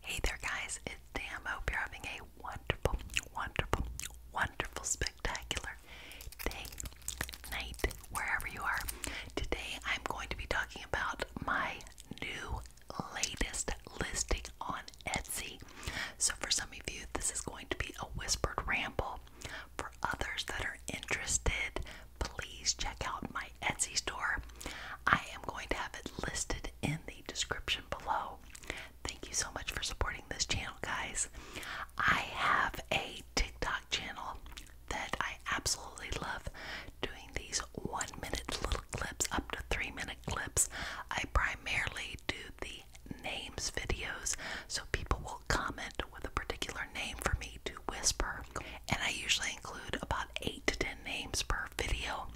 Hey there, guys, it's Sam. Hope you're having a wonderful, wonderful, wonderful, spectacular day, night, wherever you are. Today, I'm going to be talking about my new latest listing on Etsy. So, for some of you, this is going to be a whispered ramble. For others that are interested, please check out my Etsy store. I am going to have it listed in the description below. Thank you so much for supporting this channel, guys. I have a TikTok channel that I absolutely love doing these one minute little clips up to three minute clips. I primarily do the names videos, so people will comment with a particular name for me to whisper, and I usually include about eight to ten names per video.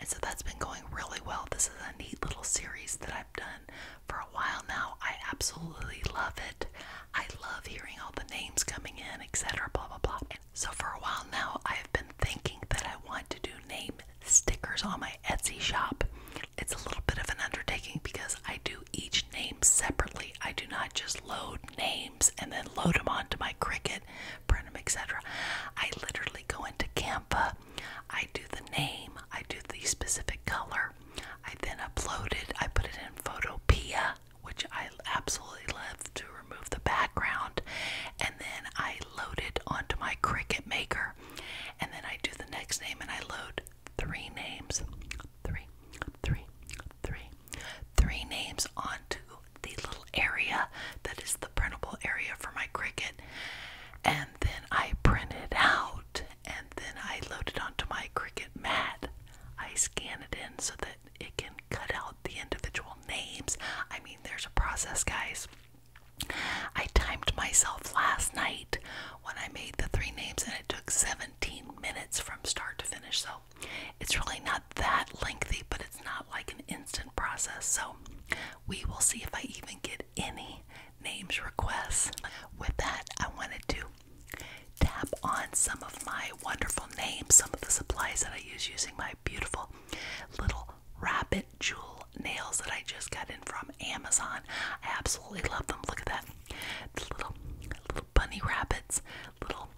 And so that's been going really well. This is a neat little series that I've done for a while now. I absolutely love it. I love hearing all the names coming in, etc. Blah blah blah. so for a while now, I've been thinking that I want to do name stickers on my Etsy shop. It's a little bit of an undertaking because I do each name separately. I do not just load names and then load them onto my Cricut it, etc. I literally go into Canva, I do the name, I do the specific color, I then upload it, I put it in Photopea, which I absolutely love to remove the background, and then I load it onto my Cricut Maker, and then I do the next name and I load three names, three, three, three, three names onto the little area that is the printable area for my Cricut. And then I print it out and then I load it onto my Cricut mat. I scan it in so that it can cut out the individual names. I mean, there's a process, guys. I timed myself last night when I made the three names, and it took 17 minutes from start to finish. So it's really not that lengthy, but it's not like an instant process. So we will see if I even get any names requests. With that, I wanted to tap on some of my wonderful names, some of the supplies that I use using my beautiful little rabbit jewel nails that I just got in from Amazon. I absolutely love them. Look at that. The little little bunny rabbits, little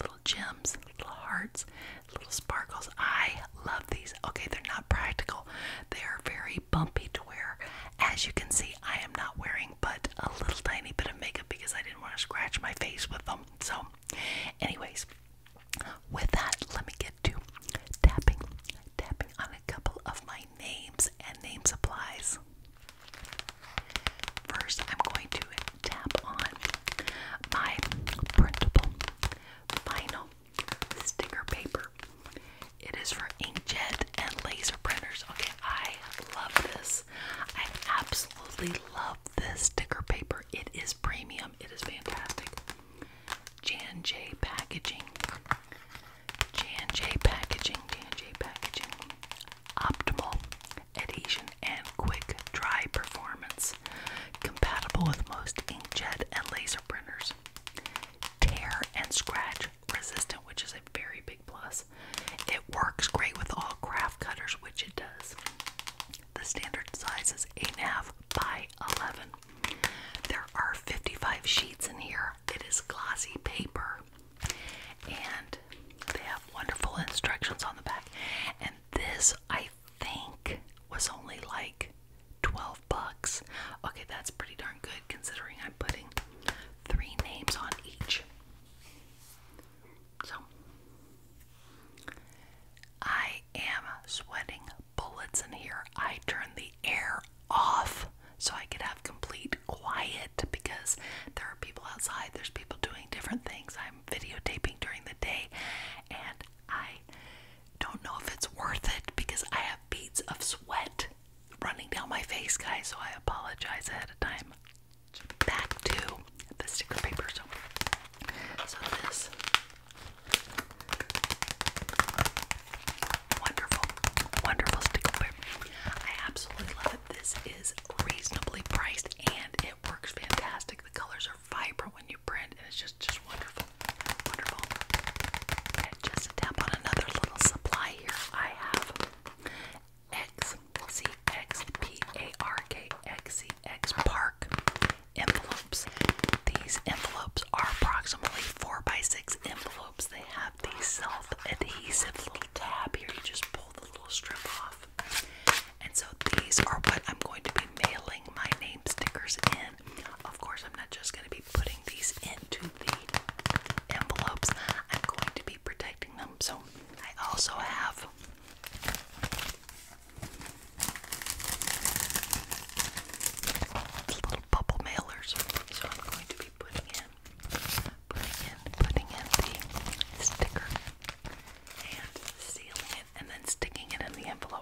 little gems, little hearts, little sparkles. I love these. Okay, they're not practical. They are very bumpy to wear. As you can see, I am not wearing but a little tiny bit of makeup because I didn't want to scratch my face with them. So, anyways, with that, let me get to tapping, tapping on a couple of my names and name supplies. First, I'm going to tap on my printable vinyl sticker paper. It is for inkjet and laser printers. Okay, I love this. I absolutely love this sticker paper. It is premium. It is fantastic. Jan J packaging. Jan J packaging. Jan J packaging. Optimal adhesion and quick dry performance, compatible with most inkjet and laser printers. Tear and scratch resistant, which is a very big plus. It works great with all craft cutters, which it does. The standard size is 8.5 by 11. There are 55 sheets in here. It is glossy paper. And they have wonderful instructions on the back. And this I I think was only like 12 bucks. Okay, that's pretty darn good considering I'm putting three names on each. So, I am sweating bullets in here. I turned the air off so I could have complete quiet because there are people outside, there's people doing different things. I'm videotaping during the day, and I don't know if it's worth it because I have beads of sweat running down my face, guys, so I apologize ahead of time. Back to the sticker paper. So, this wonderful, wonderful sticker paper. I absolutely love it. This is reasonably priced and it works fantastic. The colors are vibrant when you just tap on another little supply here, I have X C X P A R K X C X Park envelopes. These envelopes are approximately four by six envelopes. They have the self-adhesive little tab here. You just pull the little strip off. And so these are what I'm going to be mailing my name stickers in. Of course, I'm not just going to be putting these into the envelopes, I'm going to be protecting them. So I also have. Little bubble mailers, so I'm going to be putting in, putting in, putting in the sticker and sealing it, and then sticking it in the envelope.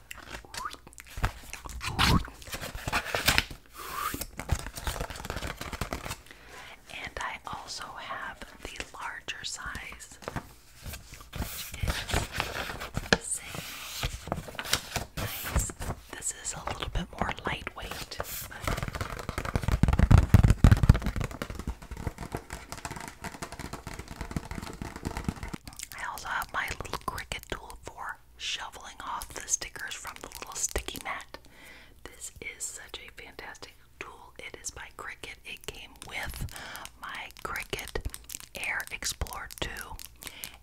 And I also have the larger size, This is a little bit more lightweight. I also have my little cricket tool for shoveling off the stickers from the little sticky mat. This is such a fantastic tool. It is by Cricut. It came with my Cricut Air Explorer 2.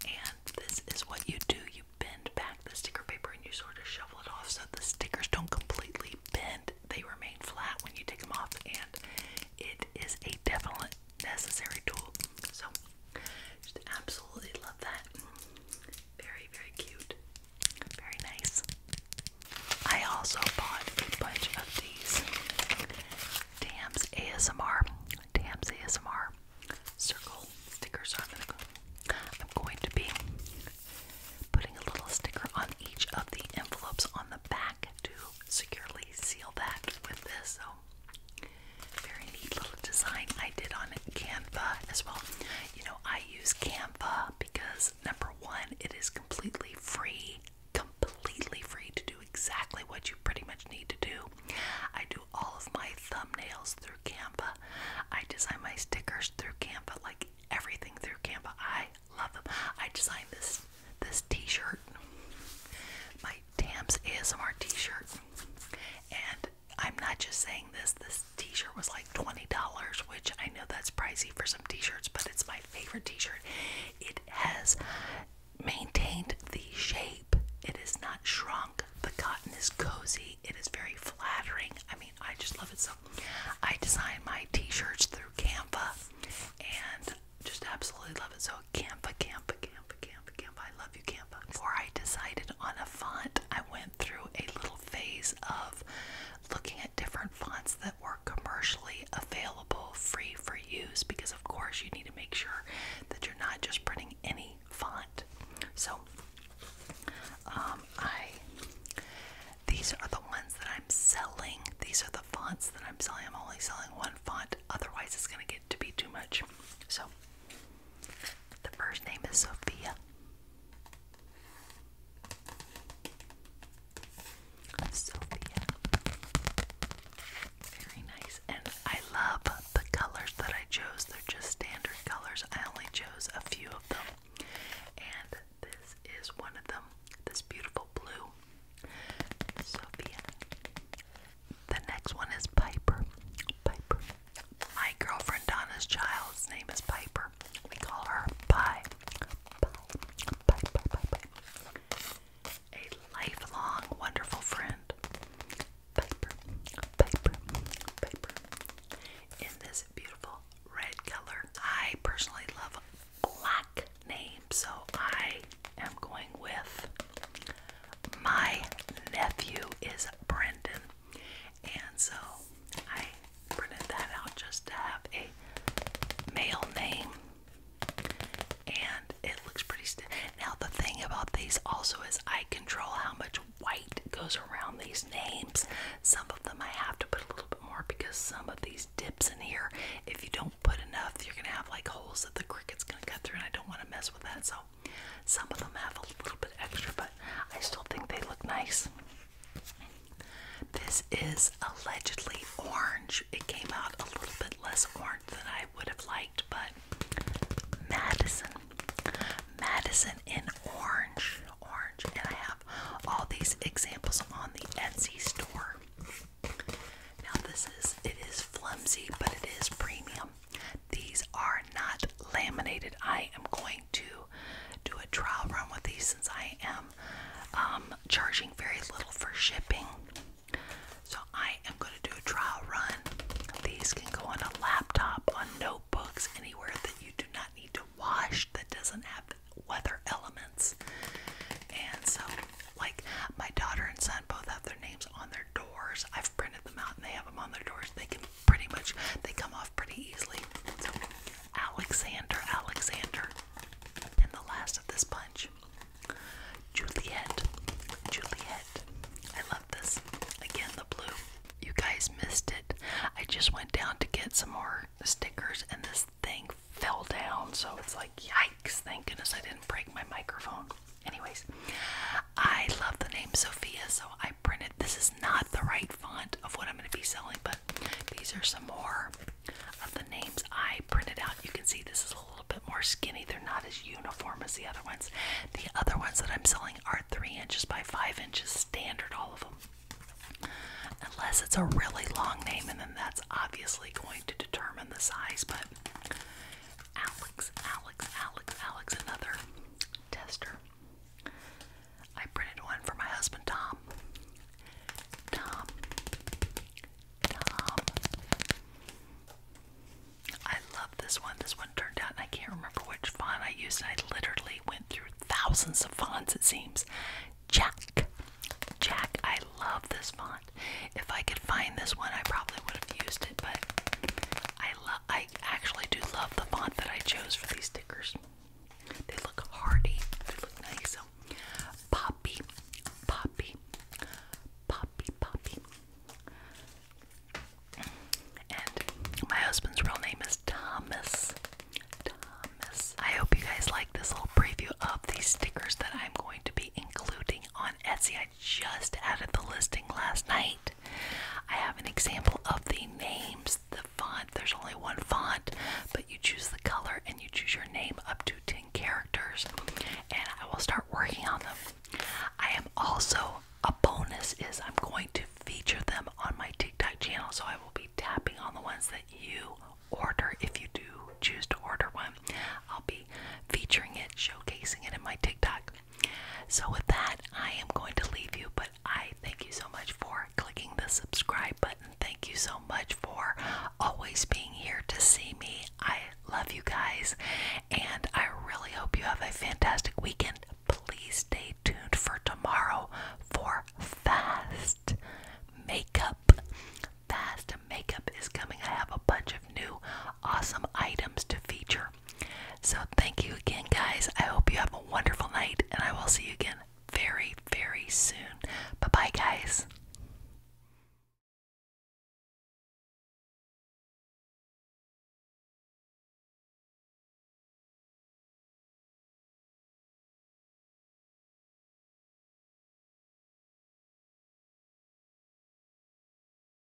And this is what you do. You bend back the sticker paper and you sort of shovel it off so the stickers don't completely bend. They remain flat when you take them off and it is a definitely necessary tool. So just absolutely love that. Very, very cute. Very nice. I also bought a bunch of these Tams ASMR. Tams ASMR circle stickers. I'm gonna be putting a little sticker on each of the envelopes on the back to securely seal that with this very neat little design I did on Canva as well. You know, I use Canva because number one, it is completely free, completely free to do exactly what you pretty much need to do. I do all of my thumbnails through Canva, I design my stickers through Canva, like everything through Canva. I love them. I designed this this t-shirt. My Tams ASMR t-shirt. And I'm not just saying this, this t-shirt was like $20, which I know that's pricey for some t-shirts, but it's my favorite t-shirt. It has maintained the shape. It is not shrunk. The cotton is cozy. It is very flattering. I mean, I just love it so. I design my t-shirts through Canva and just absolutely love it. So Canva, Canva, Canva, Canva. I Before I decided on a font, I went through a little phase of looking at different fonts that were commercially available, free for use, because of course you need to make sure that you're not just printing any font. So, um, I these are the ones that I'm selling. These are the fonts that I'm selling. I'm only selling one font. Otherwise, it's going to get to be too much. So, the first name is Sophia. Sophia. Very nice. And I love the colors that I chose. They're just standard colors. I only chose a few of them. And this is one of them. This beautiful blue. Sophia. The next one is Piper. Piper. My girlfriend Donna's child's name is Piper. We call her Pie. Pie. A lifelong, wonderful friend. Piper. Piper. Piper. In this beautiful red color. I personally love black names, so I am going with my nephew is Brendan. And so I printed that out just to have a male name. And it looks pretty Now the thing about these also is I control how much white goes around these names. Some of them I have to put a little bit more because some of these dips in here, if you don't put enough, you're gonna have like holes that the cricet's gonna cut through and I don't wanna mess with that. So some of them have a little bit extra, but I still think they look nice. This is allegedly orange. It came out a little bit less orange than I would have liked, but Madison. Madison in orange. Orange. And I have all these examples on the Etsy store. Now this is it is flimsy, but it is premium. These are not laminated. I am going to do a trial run with these since I am um, charging very little for shipping. So I am going to do a trial run. These can go on a laptop, on notebooks, anywhere that you do not need to wash that doesn't have weather elements. And so, like my daughter and son both have their names on their doors. I've printed them out and they have them on their doors. They can pretty much they come off pretty easily. Alexander, Alexander. And the last of this bunch. Juliet. Juliet. I love this. Again, the blue. You guys missed it. I just went down to get some more stickers and this thing fell down. So it's like, yikes, thank goodness I didn't break my microphone. Anyways, I love the name Sophia, so I printed. This is not the right font of what I'm going to be selling, but these are some more of the names I printed out. You can see this is a little bit more skinny. They're not as uniform as the other ones. The other ones that I'm selling are three inches by five inches, standard, all of them. Unless it's a really long name, and then that's obviously going to determine the size, but Alex, Alex, Alex, Alex, another tester. I printed one for my husband, Tom. Tom. Tom. I love this one. This one turned out, I can't remember which font I used. I literally went through thousands of fonts, it seems. Jack. Jack. I love this font. If I could find this one, I probably would have used it, but I I love I actually do love the font that I chose for these stickers. They look hearty. They look nice. So, poppy, poppy, poppy, poppy. And my husband's real name is Thomas. Thomas. I hope you guys like this little preview of these stickers that I'm going to be including on Etsy. I just added the listing last night. I have an example of the names, the font. There's only one font, but you choose the color and you choose your name up to 10 characters, and I will start working on them. I am also a bonus is I'm going to feature them on my TikTok channel, so I will be tapping on the ones that you order if you do choose to order one. I'll be featuring it, showcasing it in my TikTok. So, with that, I am going to leave you, but I thank you so much for clicking the subscribe button. Thank you so much for always being here to see me. I love you guys, and I really hope you have a fantastic weekend. Please stay tuned for tomorrow for fast makeup. Fast makeup is coming. I have a bunch of new awesome items to feature. So, thank you again, guys. I hope you have a wonderful night, and I will see you again very, very soon. Bye bye, guys.